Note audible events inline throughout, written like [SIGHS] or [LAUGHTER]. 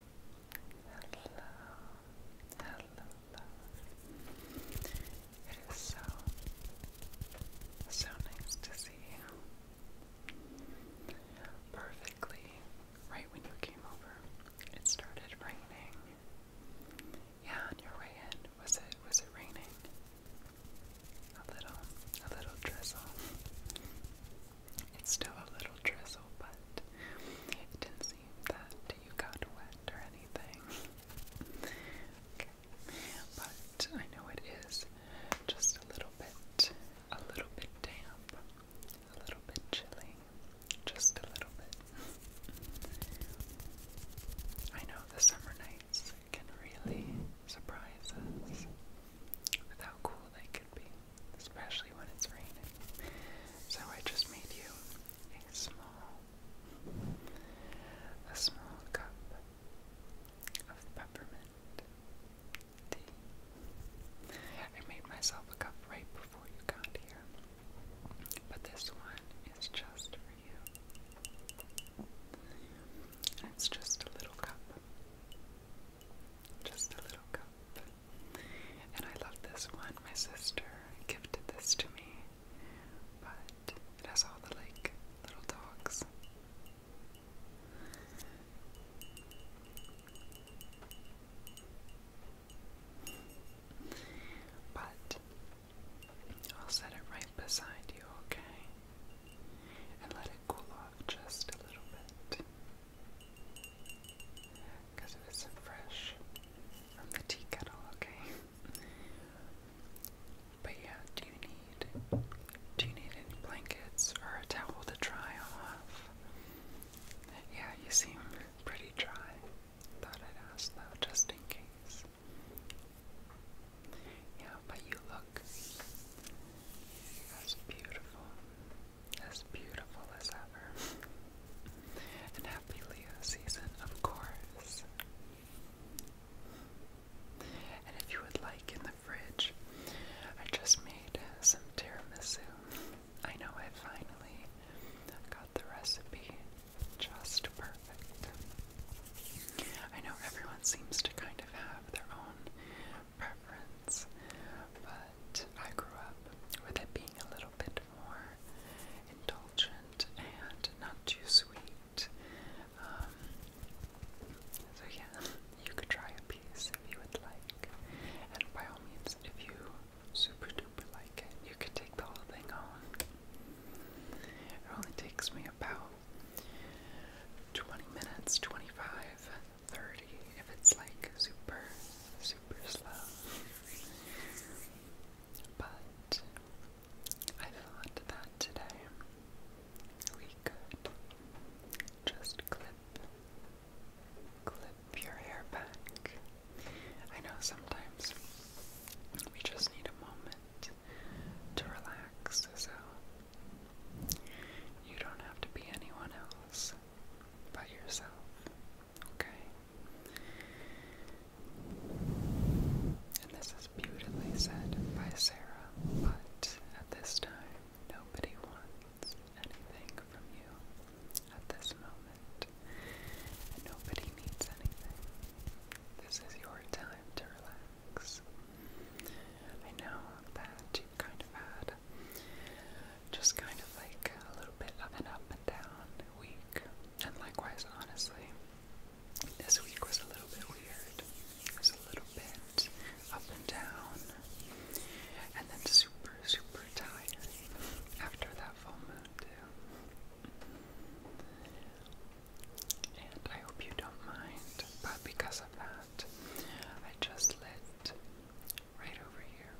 Hello, hello, It is so, so nice to see you. Perfectly, right when you came over, it started raining. Yeah, on your way in, was it was it raining? A little, a little drizzle. It's still a little drizzle, but it didn't seem that you got wet or anything. But I know it is just a little bit, a little bit damp, a little bit chilly, just a little bit. I know the summer nights can really surprise us with how cool they could be especially when it's raining. So I just made you a small, a small cup of peppermint tea. I made myself a cup right before you got here, but this one is just for you. It's just a little cup. Just a little cup. And I love this one. My sister gifted this to me. But it has all the like little dogs. But I'll set it right beside you, okay? And let it cool off just a little bit because it isn't fresh from the teakettle. okay? But yeah, do you need do you need any blankets or a towel to dry off? Yeah, you seem pretty dry. Thought I'd ask though, just in case. Yeah, but you look that's beautiful as beautiful as ever. and happy Leo season, of course. And if you would like in the fridge, I just made some tiramisu. I know I finally got the recipe just perfect. I know everyone seems to kind of have their own preference, but I grew up with it being a little bit more indulgent and not too sweet. Um, so, yeah, you could try a piece if you would like. And by all means, if you super duper like it, you could take the whole thing home. It only takes me about 20 minutes, 25 30 if it's like super, super slow. But I thought that today we could just clip, clip your hair back. I know sometimes we just need a moment to relax, so you don't have to be anyone else by yourself. Okay? And this is beautifully said by Sarah, but at this time, nobody wants anything from you at this moment. nobody needs anything. This is your time to relax. I know that you kind of had just kind of like a little bit up and up and down week. And likewise, honestly, this week was a little bit weird. It was a little bit up and down, and then super, super tired after that full moon, too. And I hope you don't mind, but because of that, I just let right over here.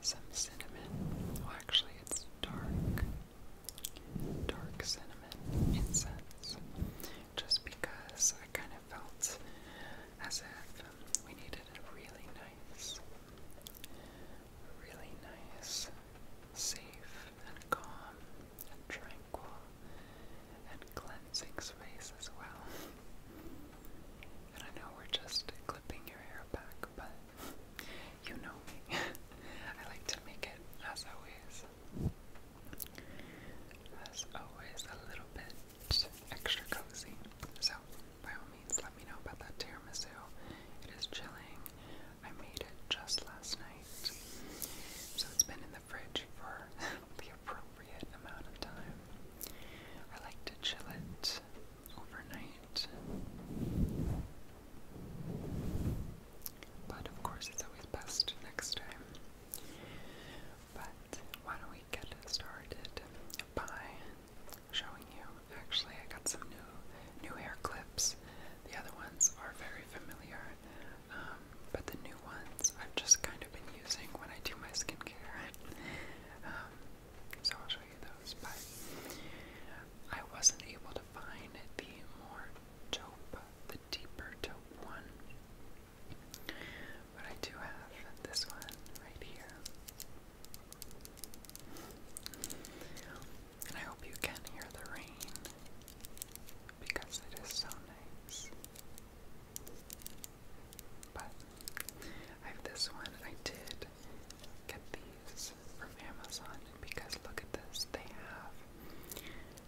Some cinnamon. Well, actually, it's dark. Dark cinnamon incense. Just because I kind of felt as if we needed a really nice, really nice, safe, and calm, and tranquil, and cleansing space as well. I know we're just clipping your hair back, but you know me. [LAUGHS] I like to make it, as always, as always, a little bit extra cozy. So, by all means, let me know about that tiramisu. It is chilling. I made it just last night, so it's been in the fridge for [LAUGHS] the appropriate amount of time. I like to chill it overnight. But of course, it's always best next time. But why don't we get started by showing you? Actually, I got some new new hair clips. The other ones are very familiar, um, but the new ones I've just kind of been using when I do my skincare. [LAUGHS] Um, so I'll show you those. But I wasn't able to find the more taupe, the deeper taupe one, but I do have this one right here. And I hope you can hear the rain because it is so nice. But I have this one. I did get these from Amazon because look at this. They have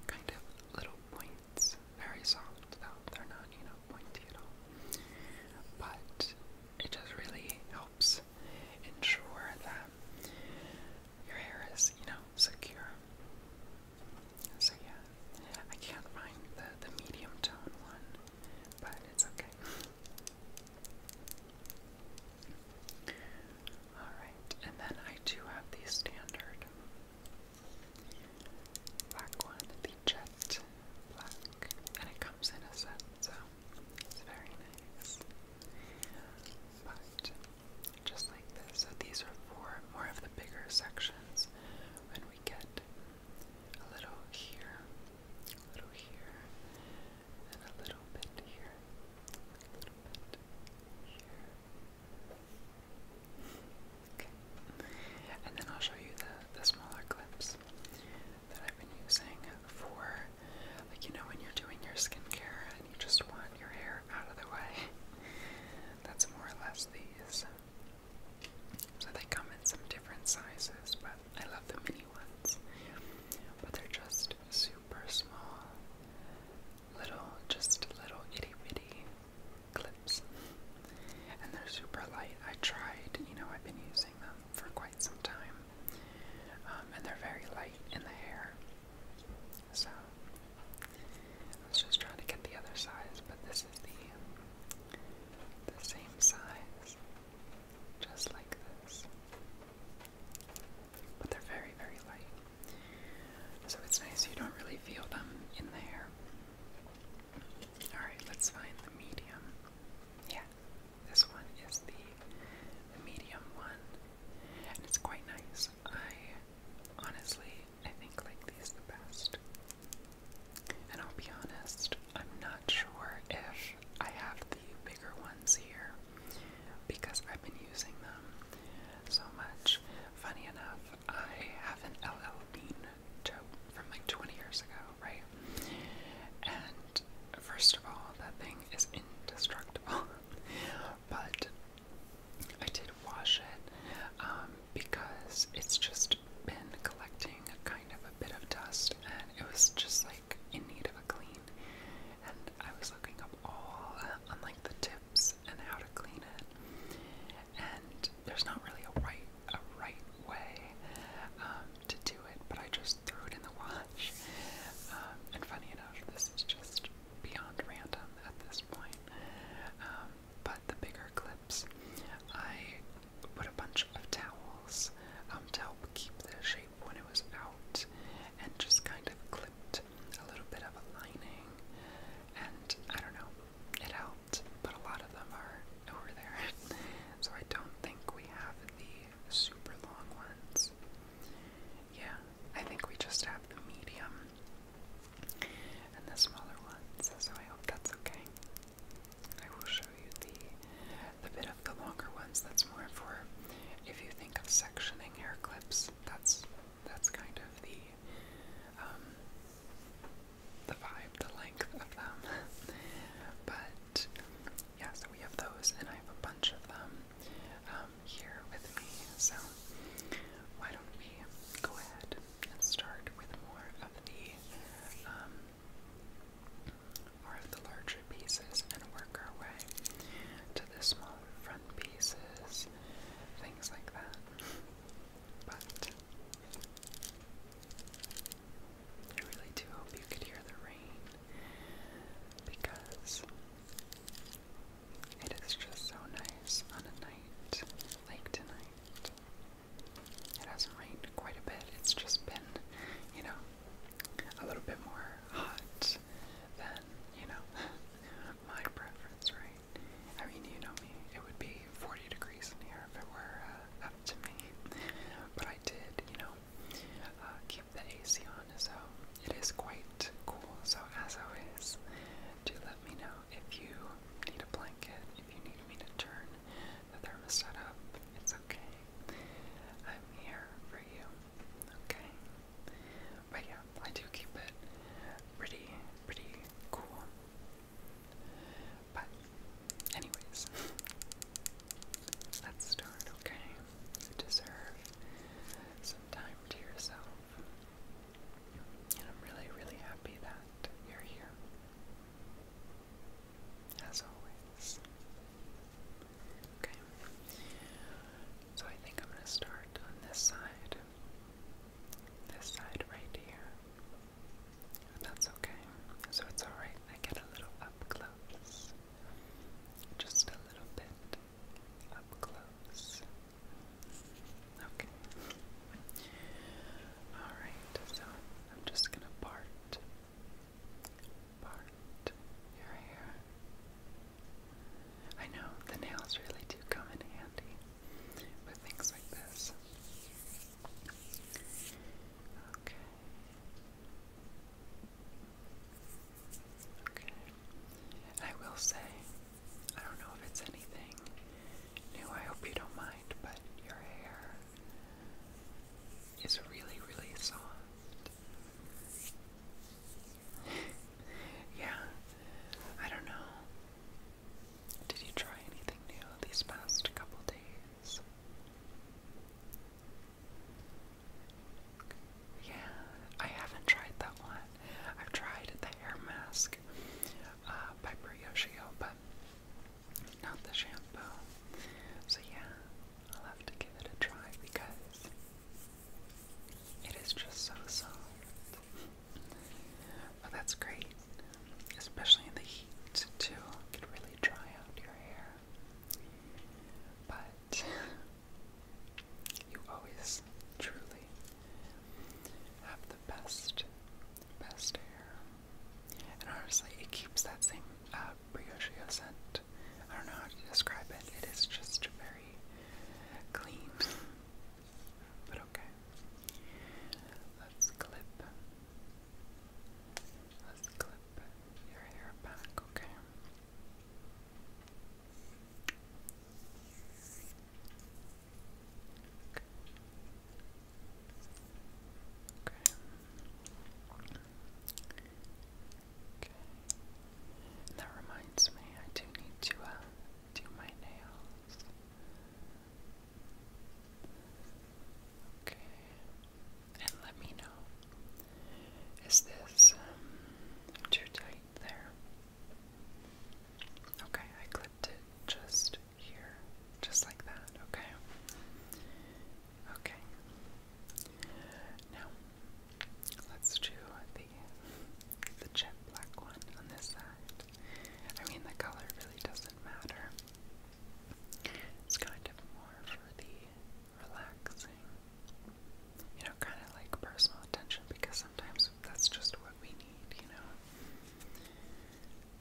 kind of little points. Very soft though. They're not, you know, pointy at all. But it just really helps ensure that your hair is, you know, secure. So yeah, I can't find the the medium tone one, but it's okay. Alright, and then I do have the standard black one, the jet black, and it comes in a set, so very nice. But just like this, so these are for more of the bigger sections when we get a little here a little here, and a little bit here, a little bit here. Okay, and then I'll show you the the smaller clips that I've been using for, like you know, when you're doing your skincare and you just want your hair out of the way. That's more or less these. So they come in some different sizes, but I love the mini ones. But they're just super small, little, just little itty bitty clips. And they're super light. I tried, you know, I've been using them for quite some time. Um, and they're very light in the hair. So, I was just trying to get the other size, but this is the, the same size just like this. But they're very, very light. So it's nice you don't really feel them in there. Alright, let's find the medium. Yeah, this one is the, the medium one. And it's quite nice. I honestly, I think like these the best. And I'll be honest, I'm not sure if I have the bigger ones here because I've been using them so much. Funny enough, I have an LL Bean tote from like 20 years ago, right? And first of all, that thing is indestructible, [LAUGHS] but I did wash it um, because it's just been collecting kind of a bit of dust and it was just like in need of a clean. And I was looking up all uh, like the tips and how to clean it. And there's not really a right a right way um, to do it, but I just threw it in the wash. Um, and funny enough, this is just beyond random at this point. Um, but the bigger clips, I put a bunch of towels um, to help keep the shape when it was out, and just kind of clipped a little bit of a lining. And I don't know, it helped, but a lot of them are over there. [LAUGHS] so I don't think we have the super long ones. Yeah, I think we just have the medium and the smaller ones, so I hope that's okay. I will show you the, the bit of the longer ones. That's more for if you think of sectioning hair clips. That's that's kind of the um, the vibe, the length of them. [LAUGHS] but yeah, so we have those, and I have a bunch of them um, here with me. So why don't we go ahead and start with more of the um, more of the larger pieces and work our way to the smaller front pieces, things like that. But I really do hope you could hear the rain because it is just so nice on a night like tonight. It hasn't rained quite a bit, it's just been, you know, a little bit more hot than, you know, [LAUGHS] my preference, right? I mean, you know me, it would be 40 degrees in here if it were uh, up to me. But I did, you know, uh, keep the AC on, so it is quite cool. So, as always, do let me know if you need a blanket, if you need me to turn the thermostat up. It's okay. I'm here for you. Okay? But yeah, I do keep it pretty, pretty cool. But, anyways, let's start, okay? You deserve some time to yourself. And I'm really, really happy that you're here as always. Okay, so I think I'm going to start on this side, this side right here. that's okay, so it's alright. I get a little up close, just a little bit up close. Okay. Alright, so I'm just gonna part part your hair. I know the nails really do come in handy with things like this. Okay. Okay. I will say, I don't know if it's anything new, I hope you don't mind, but your hair it's really, really soft. [LAUGHS] yeah, I don't know. Did you try anything new these past couple days? Yeah, I haven't tried that one. I've tried the hair mask uh, by Briochio, but not the shampoo. So, yeah, I'll have to give it a try because it is just so soft. But that's great, especially in the heat, too. It really dry out your hair. But you always truly have the best, best hair. And honestly, it keeps that same uh, brioche scent. I don't know how to describe it. It is just very clean. But okay. Let's clip. Let's clip your hair back, okay? Okay that reminds me, I do need to uh, do my nails. Okay. And let me know. Is this um, too tight there? Okay, I clipped it just here, just like that, okay? Okay. Now let's do the the jet black one on this side. I mean the color really doesn't matter. It's kind of more for the relaxing, you know, kind of like personal attention because sometimes that's just what we need, you know.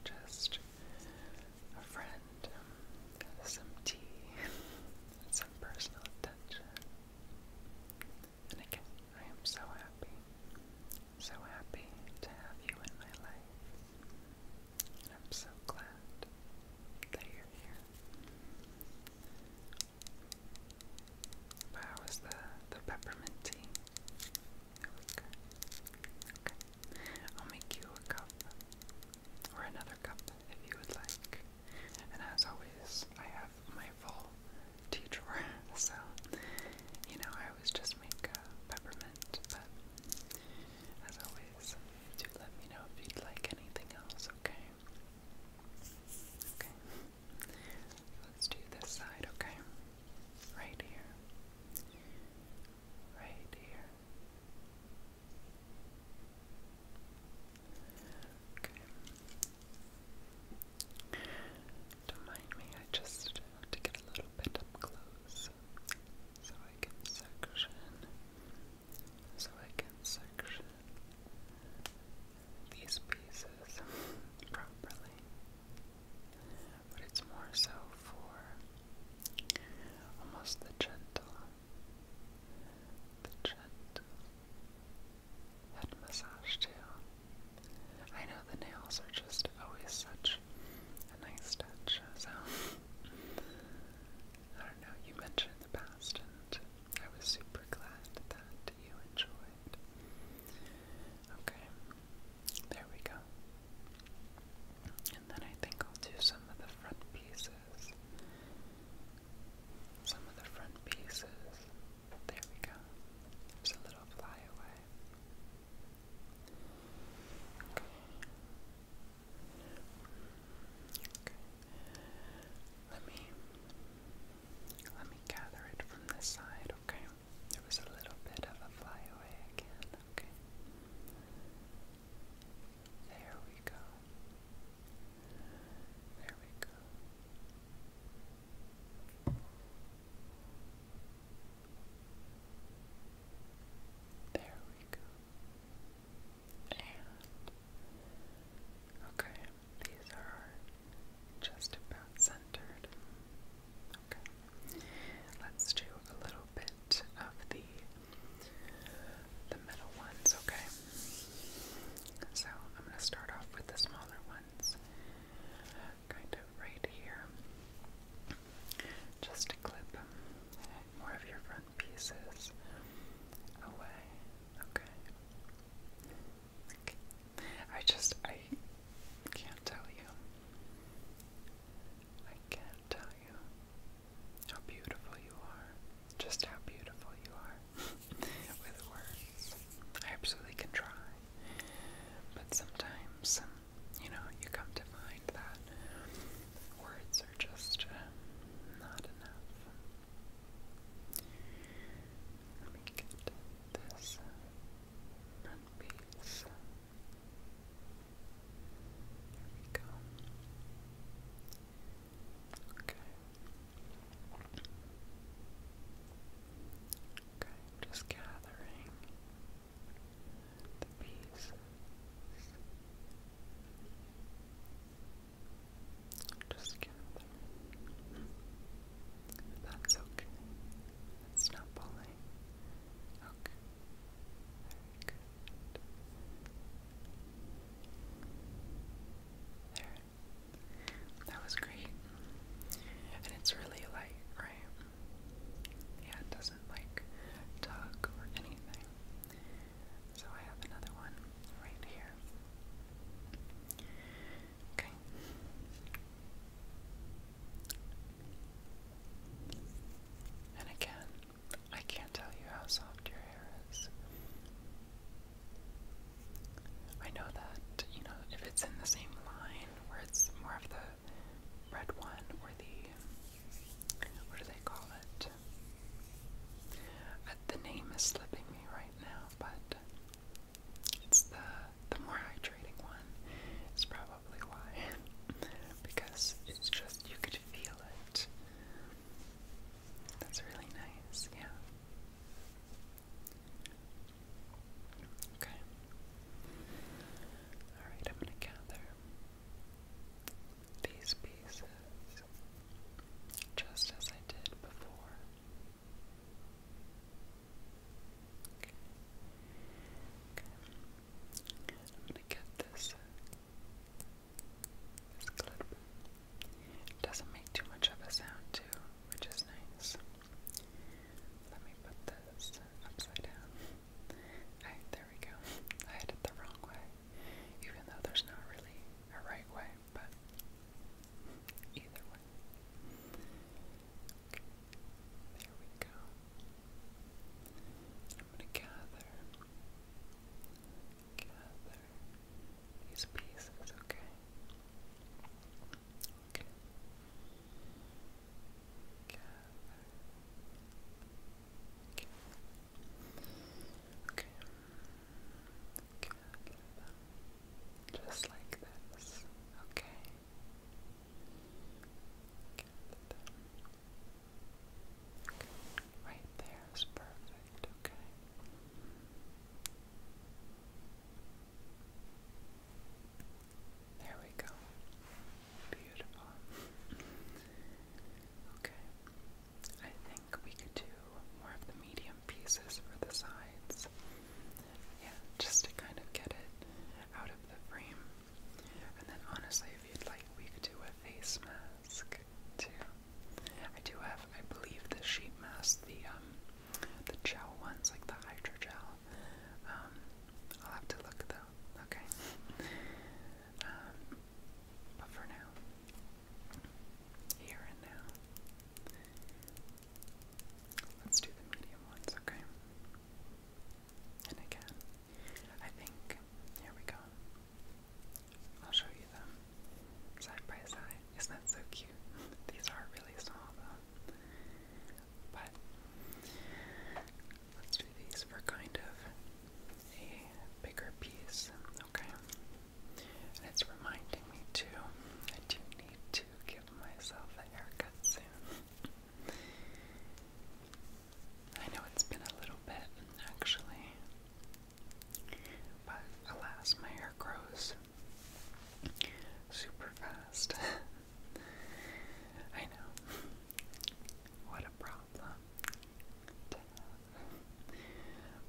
Just a friend um, some tea, [LAUGHS] some personal attention. And again, I am so happy, so happy to have you in my life. I'm so glad that you're here. Wow, was the, the peppermint tea? It Okay. I'll make you a cup or another cup if you would like. And as always, I have my full tea drawer, [LAUGHS] so you know I always just make peppermint. But as always, do let me know if you'd like anything else. Okay. Okay. Let's do this side. Okay. Right here. Right here. Okay. Don't mind me, I just have to get a little bit up close so I can section, so I can section these pieces properly. But it's more so for almost the gentle the gentle head massage too. I know the nails are just always such a nice touch, so I don't know, you mentioned the past and I was super glad that you enjoyed. Okay, there we go then I think I'll do some of the front pieces. Some of the front pieces. There we go. There's a little flyaway. Okay. Okay. Let me let me gather it from this side, okay? There was a little bit of a flyaway again, okay? There we go. There we go. There we go. And okay, these are just about centered. Okay, let's do a little bit of the the middle ones, okay? So I'm gonna start off with the smaller ones, kind of right here. Just to clip more of your front pieces away. okay. I just I can't tell you. I can't tell you how beautiful you are. Just how beautiful you are. [LAUGHS] With words. I absolutely can try. But sometimes, um, you know, you come to find that words are just um, not enough. Let me get this uh, front piece. There we go. Okay. Okay, just gathering pieces. Just gathering. That's okay. It's not pulling. Okay. Very good. That was great. And it's really light, right? Yeah, it doesn't like tug or anything. So I have another one right here. Okay. And again, I can't tell you how soft your hair is. I know that, you know, if it's in the same line where it's more of the red one or the what do they call it? Uh, the name is slipping me right now, but it's the the more hydrating one is probably why [LAUGHS] because it's just you could feel it that's really nice, yeah. Okay. Alright, I'm going to gather these pieces just as I did before. Okay. Okay. I'm going to get this this clip. It doesn't make too much of a sound too, which is nice. Let me put this upside down. Alright, there we go. I had it the wrong way. Even though there's not really a right way, but either way. Okay, there we go gather, gather these pieces, okay? Gather. Gather Just like this, Okay. Right there is perfect, okay. There we go. Beautiful. Okay. I think we could do more of the medium pieces for the sides. Yeah, just to kind of get it out of the frame. And then honestly, if you'd like, we could do a face mask too. I do have, I believe, the sheet masks, the um, the gel ones, like the hydrogel. Um, I'll have to look though. Okay. Um, but for now, here and now, let's do the medium ones. Okay. And again, I think here we go. I'll show you them side by side. Isn't that so cute? [LAUGHS] These are really small though. But let's do these for kind of a bigger piece, okay? And it's reminding me too, I do need to give myself a haircut soon. [LAUGHS] I know it's been a little bit, actually. But alas, my hair grows super fast. [LAUGHS] I know. What a problem But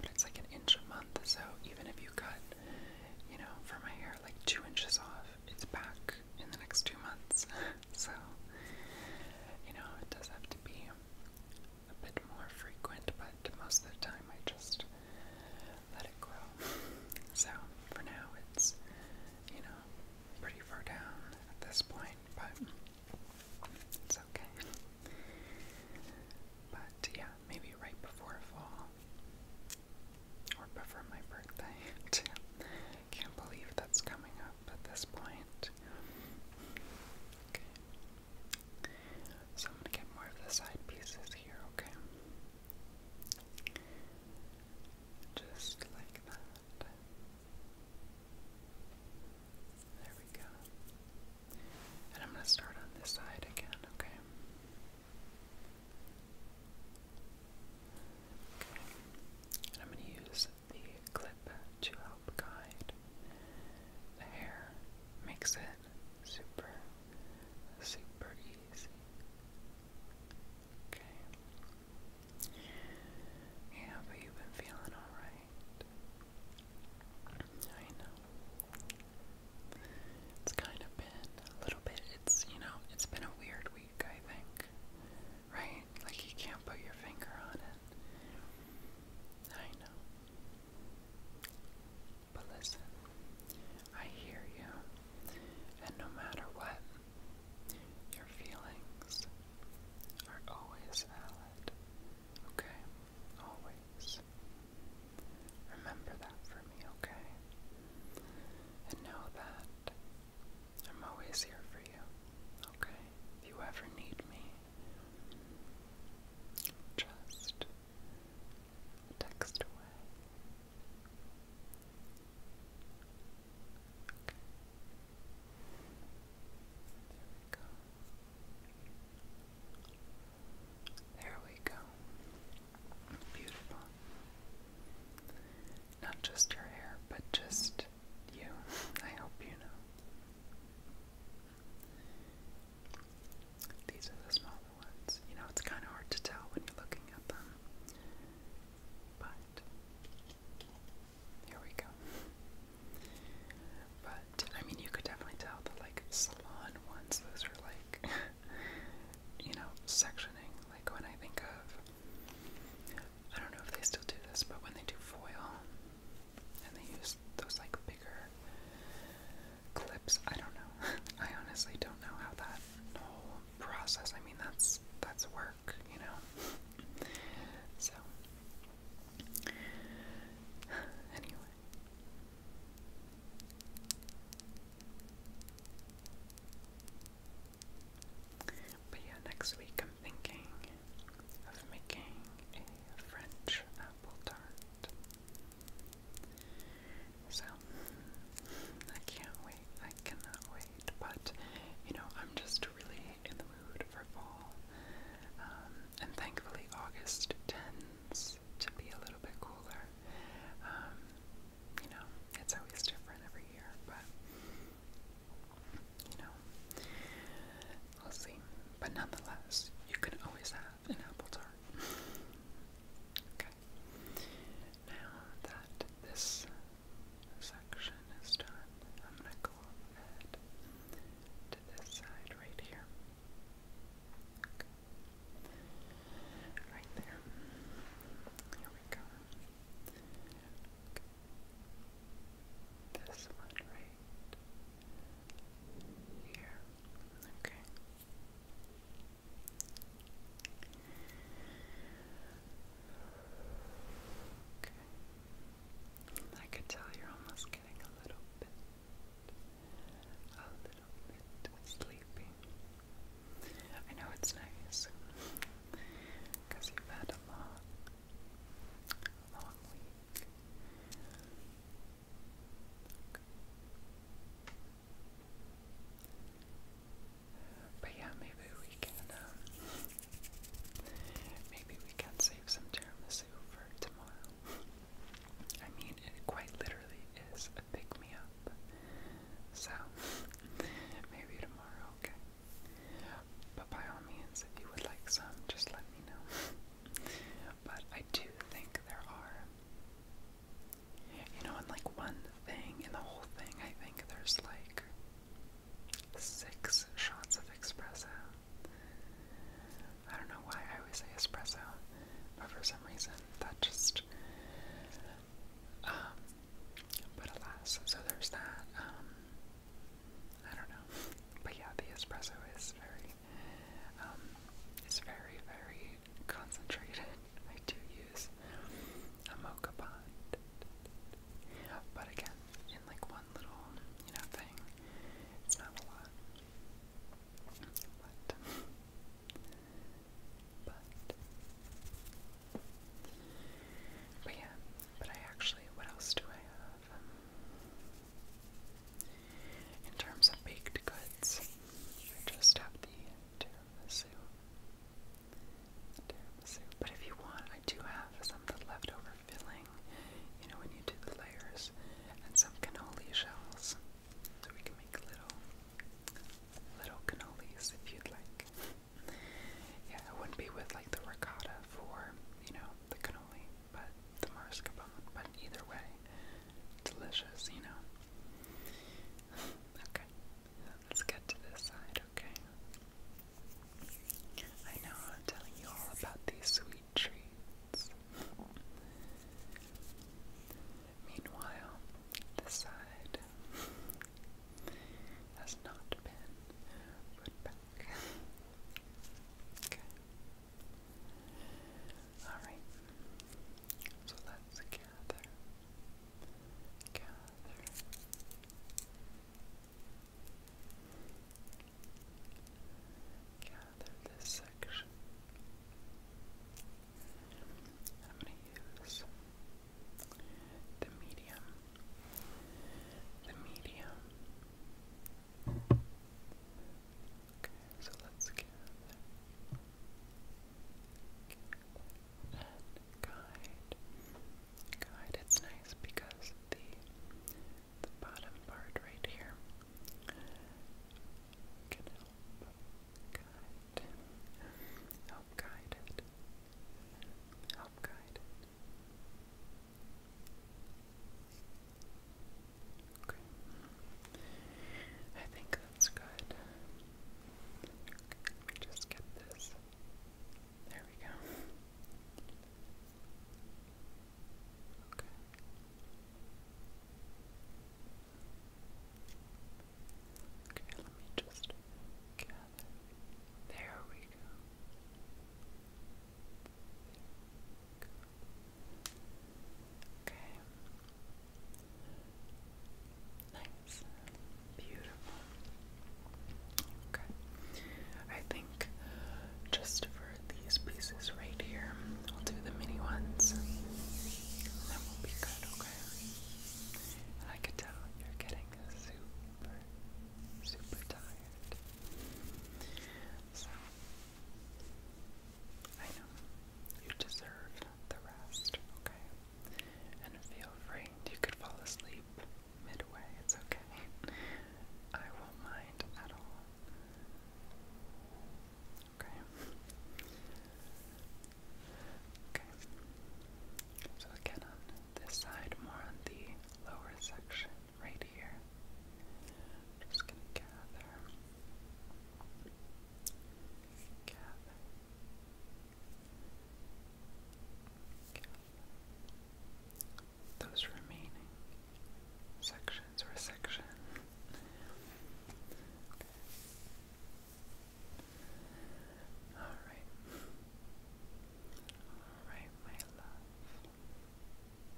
it's like an inch a month, so even if you cut, you know, for my hair like two inches off, it's back in the next two months. [LAUGHS] So, you know, it does have to be a bit more frequent, but most of the time I just let it grow. so for now it's, you know, pretty far down at this point, but it's okay. But yeah, maybe right before fall or before my birthday. I [LAUGHS] can't believe that's coming up at this point. Okay. So I'm gonna get more of the side pieces here, okay? Just like that. There we go. And I'm gonna start on this side again, okay? Okay. And I'm gonna use the clip to help guide the hair, makes it super, super easy. Okay. Yeah, but you've been feeling alright. I know. It's kind of been a little bit, it's, you know, it's been a weird week, I think. Right? Like you can't put your finger on it. I know. But listen, I hear you, and no matter what, your feelings are always valid. Okay? Always. Remember that for me, okay? And know that I'm always here for you, okay? If you ever need me, just text away. There we go. There we go. Beautiful. Not just your hair, but just you. [LAUGHS] I hope you know. These are the smaller ones. You know, it's kind of hard to tell when you're looking at them. But here we go. But I mean, you could definitely tell the like salon ones. Those are like, [LAUGHS] you know, sectioning. Like when I think of, I don't know if they still do this, but when they do foil, and they use those like bigger clips. I don't know. [LAUGHS] I honestly don't know how that whole process. I mean, that's that's work, you know. [LAUGHS] so [SIGHS] anyway. But yeah, next week I'm thinking of making a French apple tart. So I can't wait. I cannot wait. But you know, I'm just really in the mood for fall. Um, and thankfully, August tends to be a little bit cooler. Um, you know, it's always different every year, but you know i will see. But nonetheless, you can always have an apple tart. okay. Now that this section is done, I'm going to go ahead to this side right here. Right there. Here we go. This one right here. Okay. Okay. I could tell you're almost getting a little bit, a little bit sleepy. I know it's nice because you've had a long, long week. But yeah, maybe we can, um, maybe we can save some tiramisu for tomorrow. I mean, it quite literally is a pick-me-up. So, [LAUGHS] maybe tomorrow, okay? But by all means, if you would like some, just let me know but I do think there are. You know, in like one thing, in the whole thing, I think there's like six shots of espresso. I don't know why I always say espresso, but for some reason that just. Um, but alas, so there's that. Um, I don't know. But yeah, the espresso is very um, it's very, very concentrated. [LAUGHS] I do use a mocha bond. But again, in like one little, you know, thing. It's not a lot. But, but, yeah, but I actually, what else do I have? In terms of baked goods, I just have the tiramisu. But if you want, I do have some of the leftover filling, you know, when you do the layers, and some cannoli shells. So we can make little, little cannolis if you'd like. yeah, it wouldn't be with like the ricotta for, you know, the cannoli, but the mascarpone, but either way, delicious, you know. [LAUGHS] okay, let's get to this side, okay? I know I'm telling you all about these sweet treats. [LAUGHS] Meanwhile, this side [LAUGHS] has not been put back. okay. Alright, so let's gather, gather. Gather this section. I'm going to use the medium, the medium, Okay, so let's guide. Guide, it's nice because the bottom part right here can help guide. Help guide it. Help guide Okay. I think that's good. let me just get this. There we go. Okay. Okay, let me just gather. There we go. Okay. Nice. Beautiful. Okay. I think just for these pieces right here, we'll do the mini ones. And then we'll be good, okay? I could tell you're getting super, super tired. So I know. You deserve the rest, okay? And feel free. You could fall asleep midway. It's okay. I won't mind at all. Okay. Okay. So again on this side, more on the lower section right here. Just gonna gather those remaining sections or section. All right. All right, my love.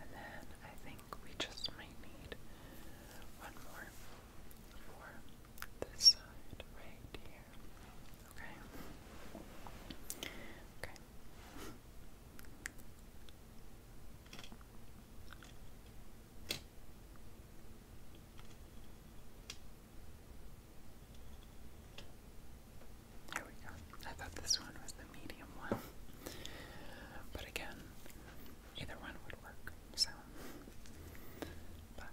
And then I think we just might need one more for this side right here. Okay. Okay. There we go. I thought this one was the medium one. But again, either one would work, so. But.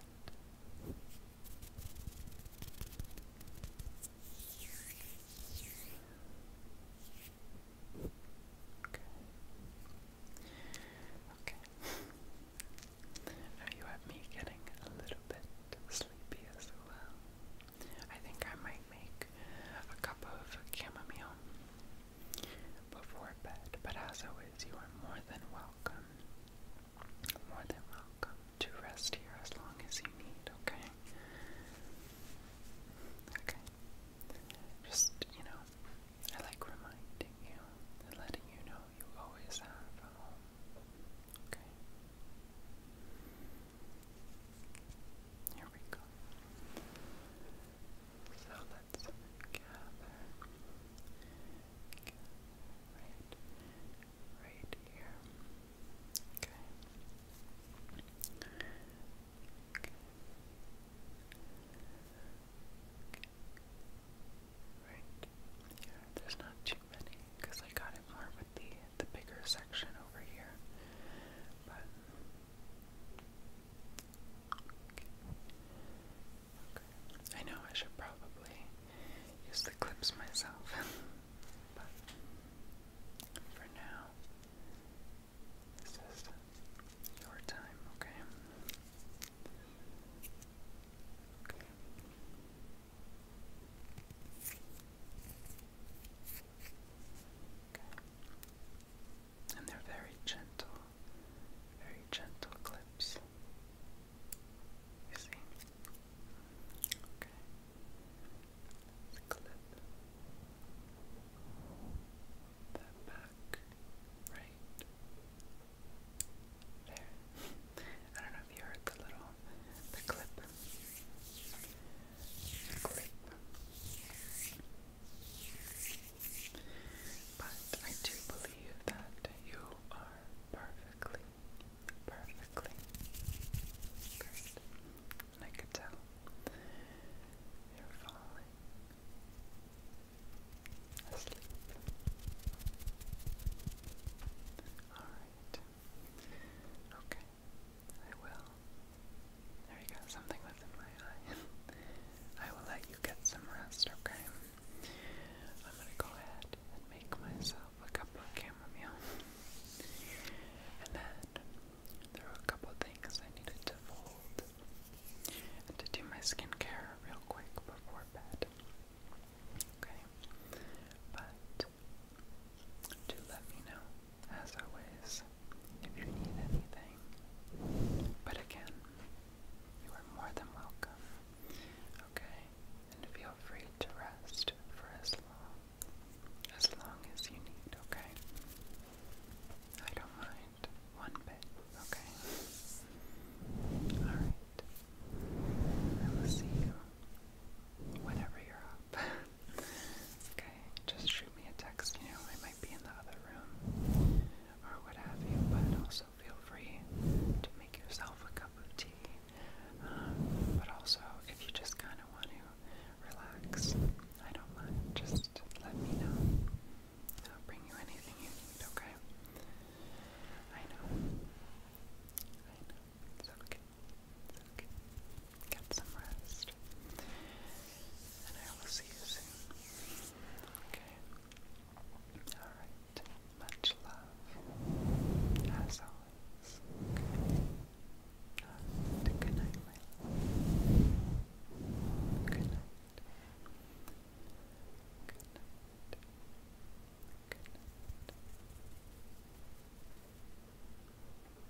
Okay. Okay. Now you have me getting a little bit sleepy as well. I think I might make a cup of chamomile before bed, but as always, you are more than welcome, more than welcome to rest here as long as you need, okay? Okay. Just, you know, I like reminding you and letting you know you always have a home, okay? Here we go. So let's gather, right, right here. Okay. Okay. Right. Yeah, there's not too many because I got it more the the bigger section over here. But I know I should probably use the clips myself. [LAUGHS] but for now, this is your time, Okay. And they're very gentle, very gentle clips. You see? Okay. clip that back right there. [LAUGHS] I don't know if you heard the little the clip grip. But I do believe that you are perfectly, perfectly good. And I could tell you're falling asleep. Alright. Okay. I will. There you go, something was my eye. [LAUGHS] I will let you get some rest, okay? I'm gonna go ahead and make myself a cup of chamomile. And then there a couple things I needed to fold and to do my skincare real quick before bed. Okay? But to let me know, as always, if you need anything. But again, you are more than welcome, okay? And feel free to rest for as long, as long as you need, okay? I don't mind one bit, okay? Alright. I will see you whenever you're okay, just shoot me a text, you know, I might be in the other room or what have you, but also feel free to make yourself a cup of tea. Um, but also, if you just kind of want to relax, I don't mind, just let me know. I'll bring you anything you need, okay? I know. I know. It's okay. Okay. Get some rest. And I will see you soon. Okay. Alright. Much love. As always. Good night, Good night. Good night. Good night.